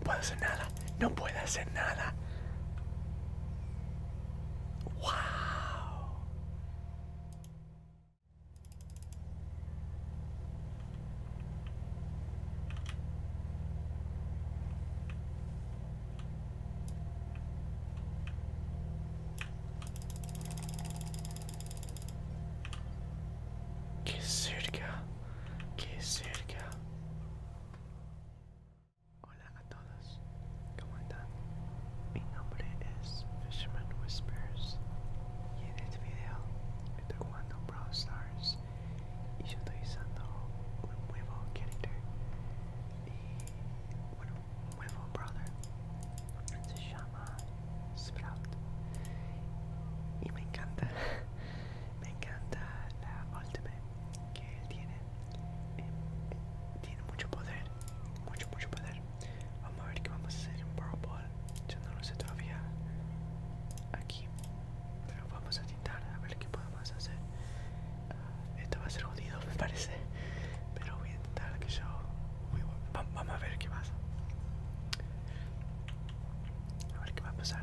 No puedo hacer nada, no puedo hacer nada. Wow. Qué cerca, qué cerca. Hola a todos, ¿cómo están? Mi nombre es Fisherman Whispers y en este video estoy jugando Brawl Stars y yo estoy usando un character y bueno, brother se llama Sprout y me encanta, me encanta la ultimate que tiene, tiene mucho poder mucho mucho poder vamos a ver qué vamos a hacer en Brawl Ball yo no lo sé todavía aquí pero vamos a intentar a ver qué podemos hacer ah, esto va a ser jodido me parece pero voy a intentar que yo vamos a ver qué pasa a ver qué va a pasar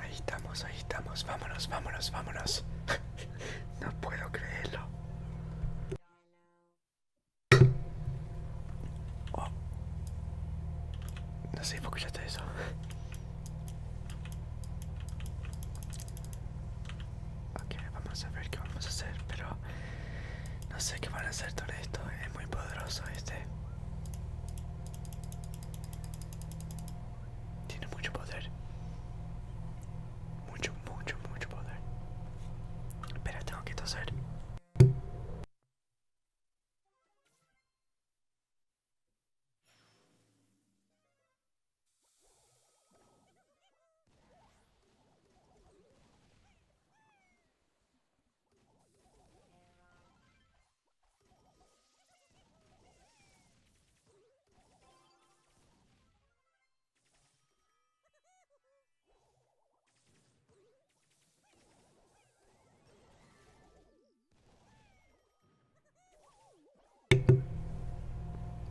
Ahí estamos, ahí estamos. Vámonos, vámonos, vámonos. no puedo creerlo. Oh. No sé, ¿por qué escuchaste eso? ok, vamos a ver qué vamos a hacer, pero no sé qué van a hacer Todo esto. Es muy poderoso este. Tiene muito poder. muito, muito, muito poder. Espera, tenho que toser.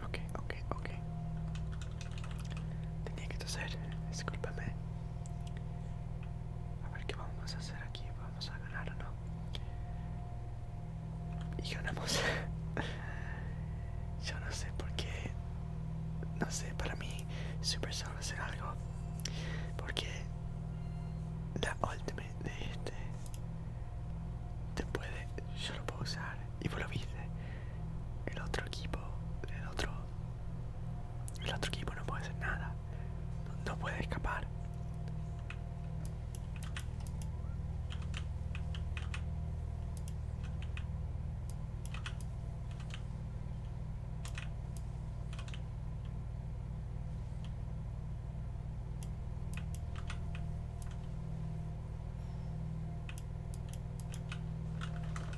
Okay, okay, okay. Tenía que toser, discúlpame. A ver qué vamos a hacer aquí. ¿Vamos a ganar o no? Y ganamos. Yo no sé por qué. No sé, para mí Super solo hacer algo. Porque la Ultimate de este te puede. Yo lo puedo usar. Y por lo viste. El otro equipo. El otro. El otro equipo no puede hacer nada. No puede escapar.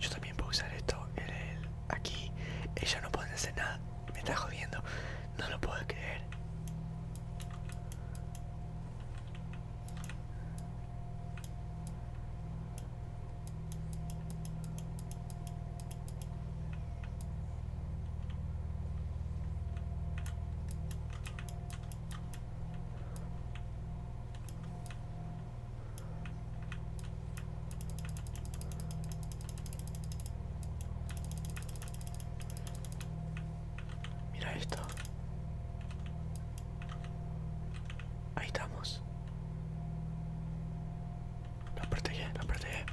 Yo también puedo usar esto el, aquí. Ella no puede hacer nada. Me está jodiendo. No lo puedo creer. Mira esto. Ahí estamos. Lo protege, lo protege.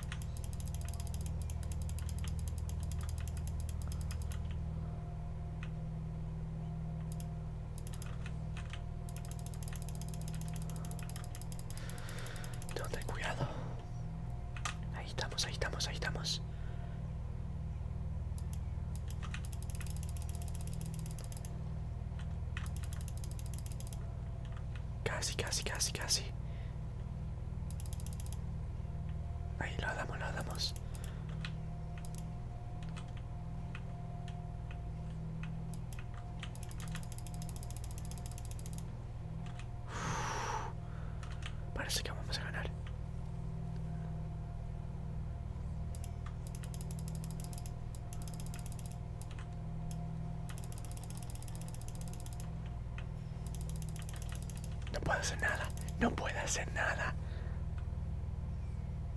Tengo cuidado. Ahí estamos, ahí estamos, ahí estamos. Casi, casi, casi, casi. Ahí lo damos, lo damos parece que vamos a ganar. No puedo hacer nada, no puedo hacer nada.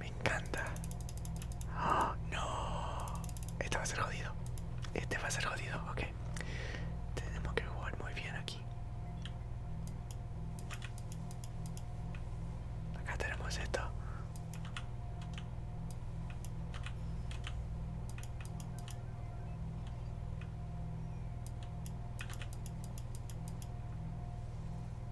Me encanta. Oh, no. Este va a ser jodido. Este va a ser jodido, ok. Tenemos que jugar muy bien aquí. Acá tenemos esto.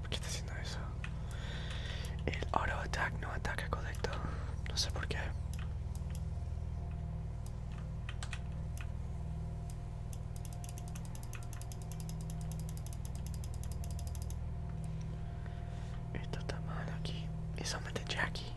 ¿Por qué está haciendo eso? El auto attack no ataca colecto. No sé por qué. Esto está mal aquí. Eso mete Jackie.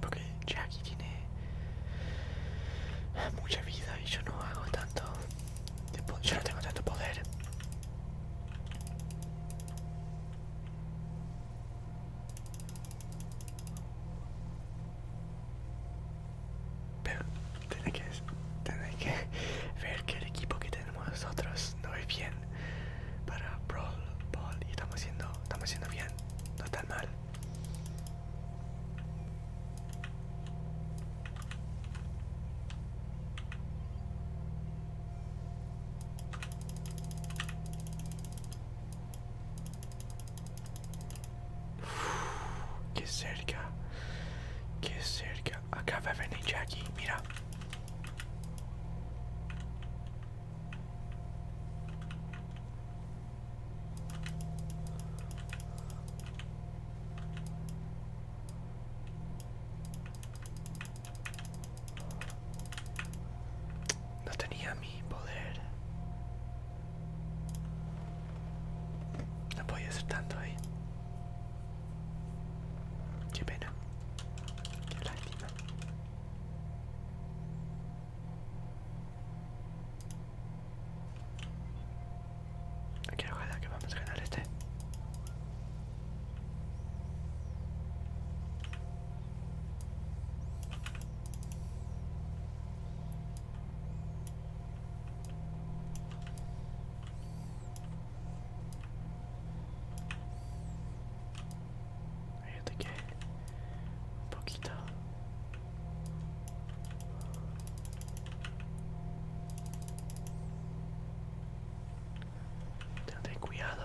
Porque Jackie tiene mucha vida y yo no hago tanto. Yo no tengo tanto poder. Pero tenéis que, ver que el equipo que tenemos nosotros no es bien para Brawl Ball y estamos haciendo, estamos haciendo bien, no tan mal. Que cerca. Que cerca. Acaba va a venir aquí, mira. No tenía mi poder. No a hacer tanto ahí. Qué pena. Qué lástima. Aquí ojalá que vamos a ganar este. Fíjate que un poquito ten cuidado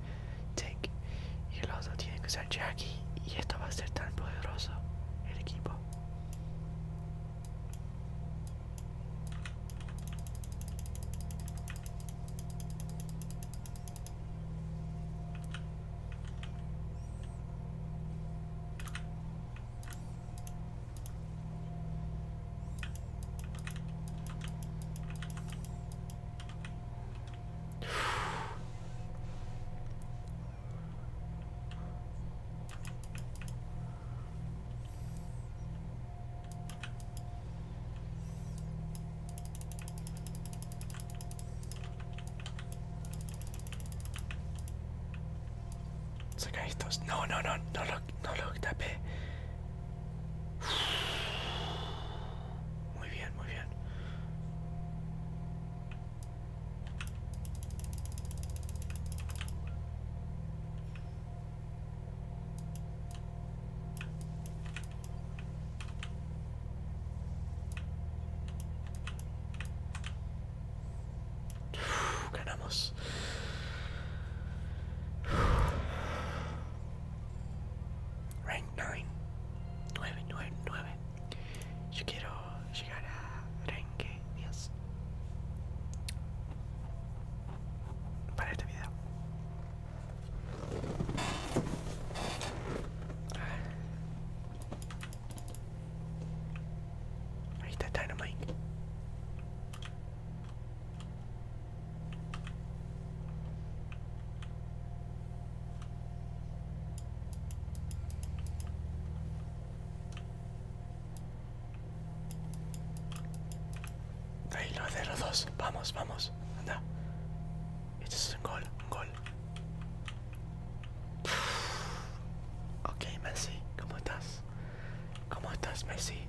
Take y el otro tiene que ser Jackie y esto va a ser tan poderoso el equipo Saca estos. No, no, no, no lo, no lo tapé. Muy bien, muy bien. ganamos. Rank 9. 9, quiero llegar a rank 10. Para este video. Ahí está Dynamite. Ahí lo de los dos. Vamos, vamos. Anda. Esto es un gol, un gol. Ok, Messi, ¿cómo estás? ¿Cómo estás, Messi?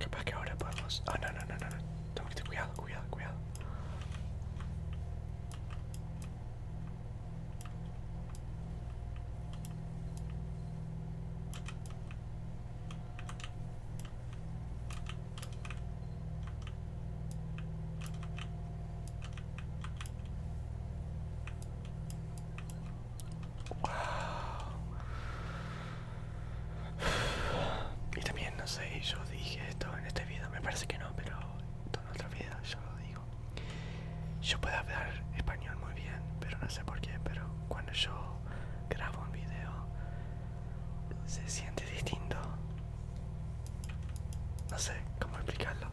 Capaz que ahora podemos... Ah, no, no, no, no, no. Tengo que tener cuidado, cuidado, cuidado. Y también, no sé, yo dije esto en este video, me parece que no, pero en otro video yo lo digo. Yo puedo hablar español muy bien, pero no sé por qué, pero cuando yo grabo un video se siente distinto no sé cómo explicarlo.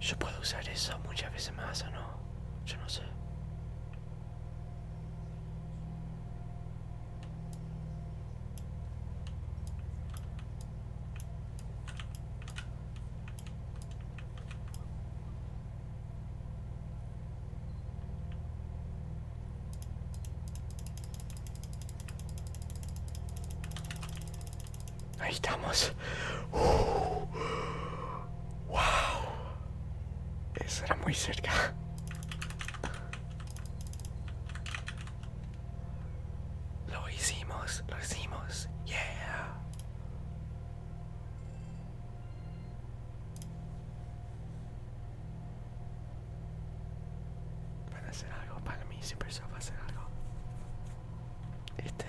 Yo puedo usar eso muchas veces más o no, yo no sé. Ahí estamos. Uh, wow. Eso era muy cerca. Lo hicimos, lo hicimos. Yeah. Van a hacer algo, para mí siempre se va a hacer algo. Este.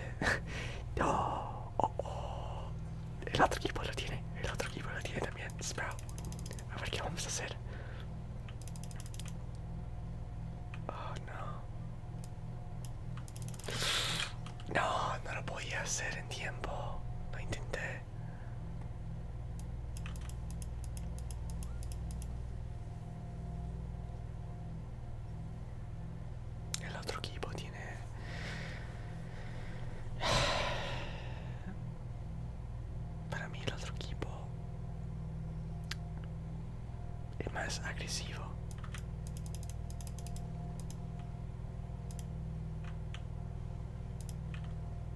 no, oh, oh. El otro equipo lo tiene, el otro equipo lo tiene también, Sprout. A ver qué vamos a hacer. Oh no. No, no lo podía hacer en tiempo. no intenté. E l'altro Kibo tiene Para mí el otro equipo es más agresivo.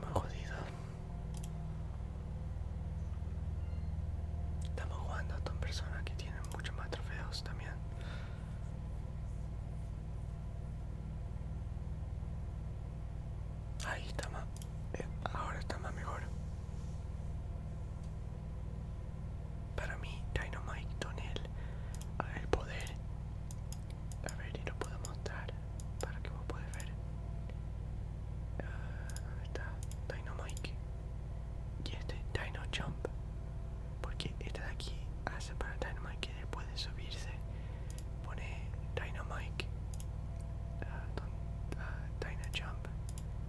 Muy jodido. Estamos jugando a con personas que tienen muchos más trofeos también. Ahí estamos eh, ahora está más mejor. Para mí, Dynamite Tunnel, el poder. A ver, y lo puedo mostrar para que vos puedas ver. Ah, ahí está Dynamite y este Dino Jump, porque este de aquí hace para Dynamite que después de subirse pone Dynamite, Mike ah, ah, Dino Jump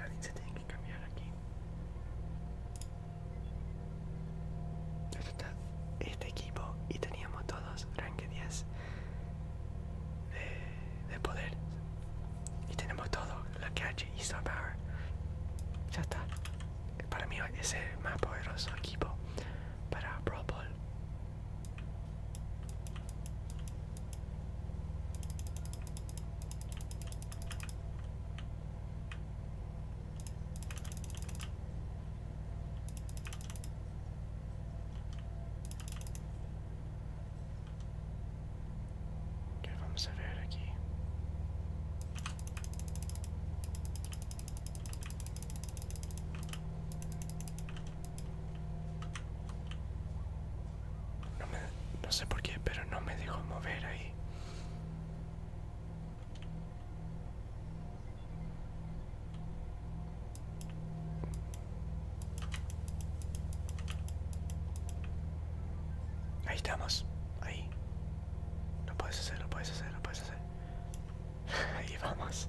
Alguien se tiene que cambiar aquí. este equipo y teníamos todos rank 10 de, poder. Y tenemos todo lo que hace Star Power. Ya está. Para mí es el más poderoso equipo para pro Ball que vamos a ver aquí no, no sé por qué pero no me dejó mover ahí Ahí estamos. Ahí. No puedes hacer, no puedes hacer, no puedes hacer. Ahí vamos.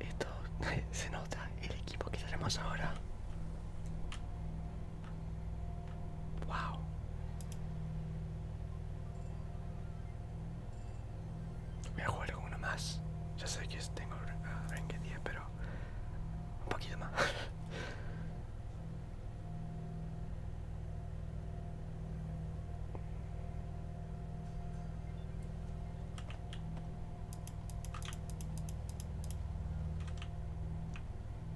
Esto se nota el equipo que tenemos ahora. Wow. Voy a jugar con uno más. Ya sé que tengo uh, 10, pero un poquito más.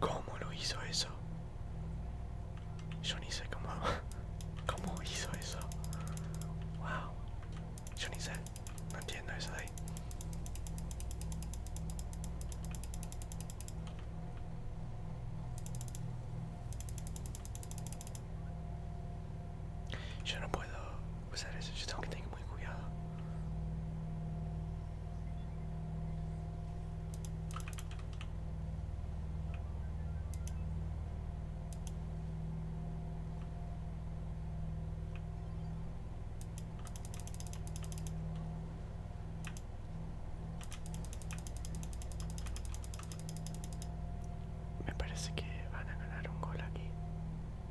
¿Cómo lo hizo eso? Yo ni sé cómo... ¿Cómo hizo eso? Wow. Yo ni sé. No entiendo eso de ahí. Yo no puedo usar eso, yo tengo que tener muy cuidado. Me parece que van a ganar un gol aquí.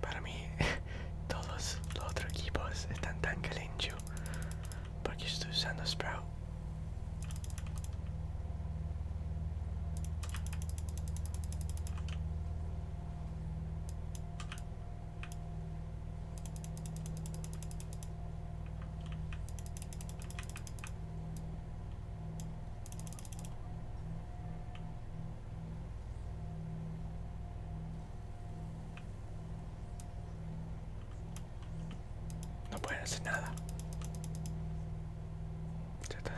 Para mí, todos los otros equipos están tan calencho porque estoy usando Sprout. No pueden hacer nada. Ya está.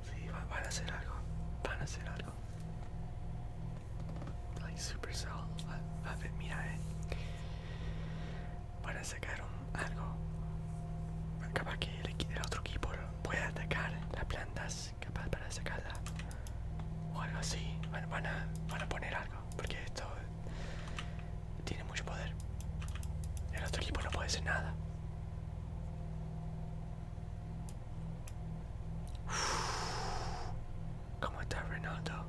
Sí, van a hacer algo. Van a hacer algo. Super A, a ver, mira, eh. Van a sacar algo. Capaz que el, otro equipo pueda atacar las plantas. Capaz para sacarla. O algo así. Van, van a poner algo. Porque esto tiene mucho poder. El otro equipo no puede hacer nada. Come with that Ronaldo.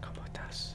Come on, us.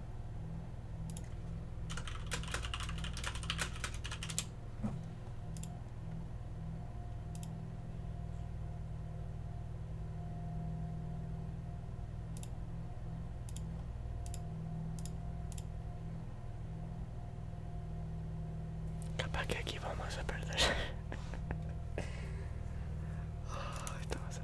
Capaz que aquí vamos a perder. ah, esto va a ser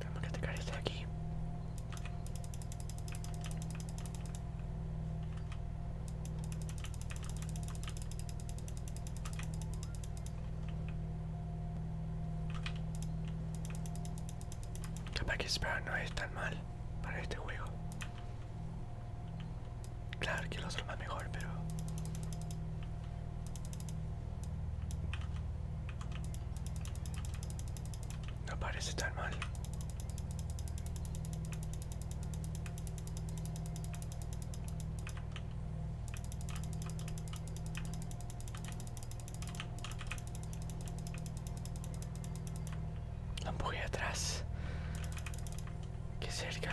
Vamos a sacar esto de aquí. Capaz que esperar no es tan mal para este juego. Claro que lo son más mejor, pero... No parece tan mal. La atrás. Qué cerca.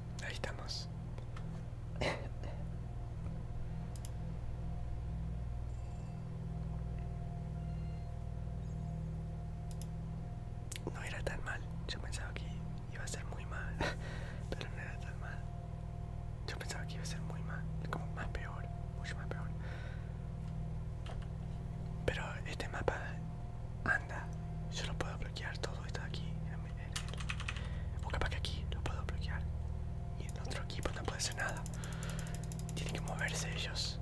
Ahí estamos. No era tan mal. Yo pensaba que iba a ser muy mal. Pero no era tan mal. Yo pensaba que iba a ser muy mal. Como más peor. Mucho más peor. Pero este mapa anda. Yo lo puedo bloquear todo esto aquí. Porque que aquí lo puedo bloquear. Y el otro equipo no puede hacer nada. Tienen que moverse ellos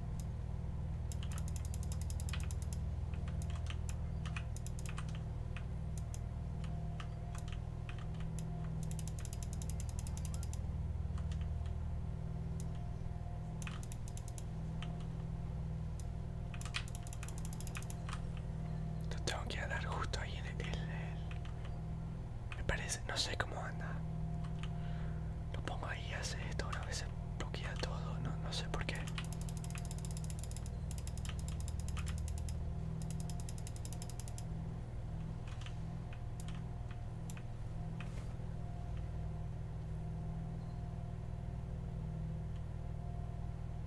tengo que dar justo ahí en el, Me parece, no sé cómo anda. Lo pongo ahí, hace esto, una vez bloquea todo, no sé por qué.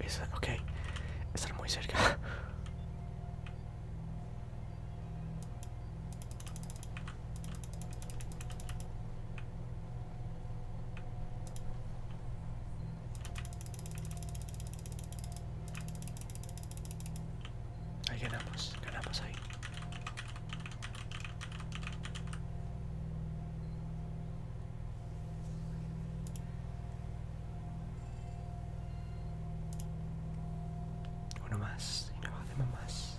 es esa, ok. muy cerca. Ahí ganamos, ganamos ahí. Uno más, y nos hacemos más.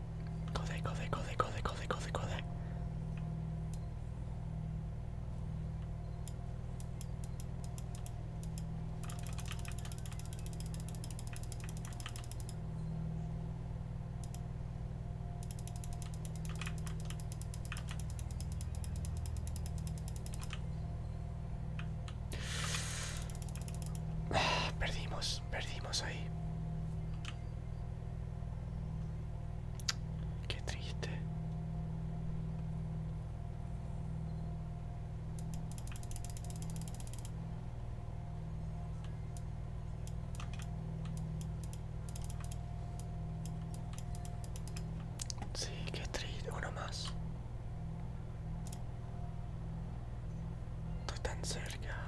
Code, code, code, code, code, code, code. Perdimos, perdimos ahí. Qué triste. Sí, qué triste. Uno más. Tú tan cerca.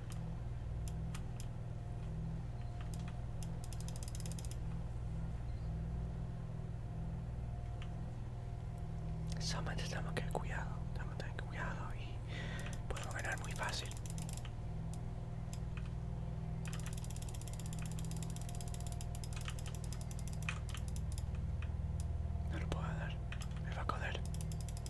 Solamente tenemos que cuidado, tenemos que cuidado y podemos ganar muy fácil. No lo puedo dar, me va a coger.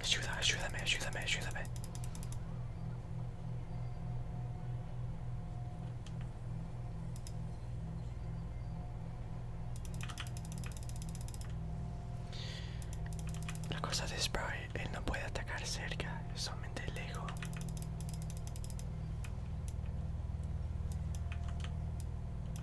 Ayuda, ayúdame, ayúdame, ayúdame. La cosa de spray él no puede atacar cerca, solamente lejos.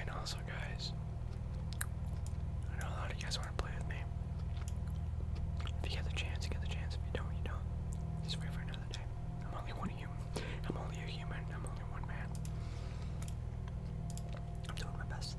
And also, guys, I know a lot of you guys want to play with me. If you get the chance, you get the chance. If you don't, you don't. Just wait for another day. I'm only one of you. I'm only a human. I'm only one man. I'm doing my best.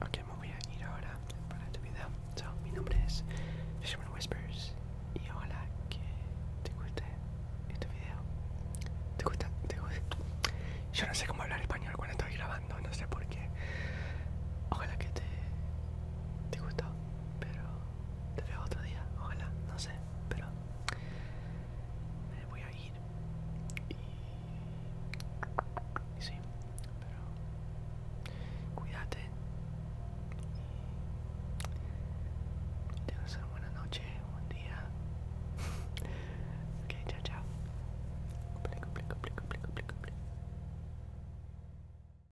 Ok, me voy a ir ahora para tu video. mi nombre es Fisherman Whispers y ojalá que te guste este video. ¿Te gusta? ¿Te gusta? Yo no sé cómo hablar español cuando estoy grabando, no sé por qué. Ojalá que te, te gustó, pero te veo otro día, ojalá, no sé, pero me voy a ir y, sí, pero cuídate y a una buena noche, un buen día. ok, chao, chao. cumple, cumple, cumple, cumple.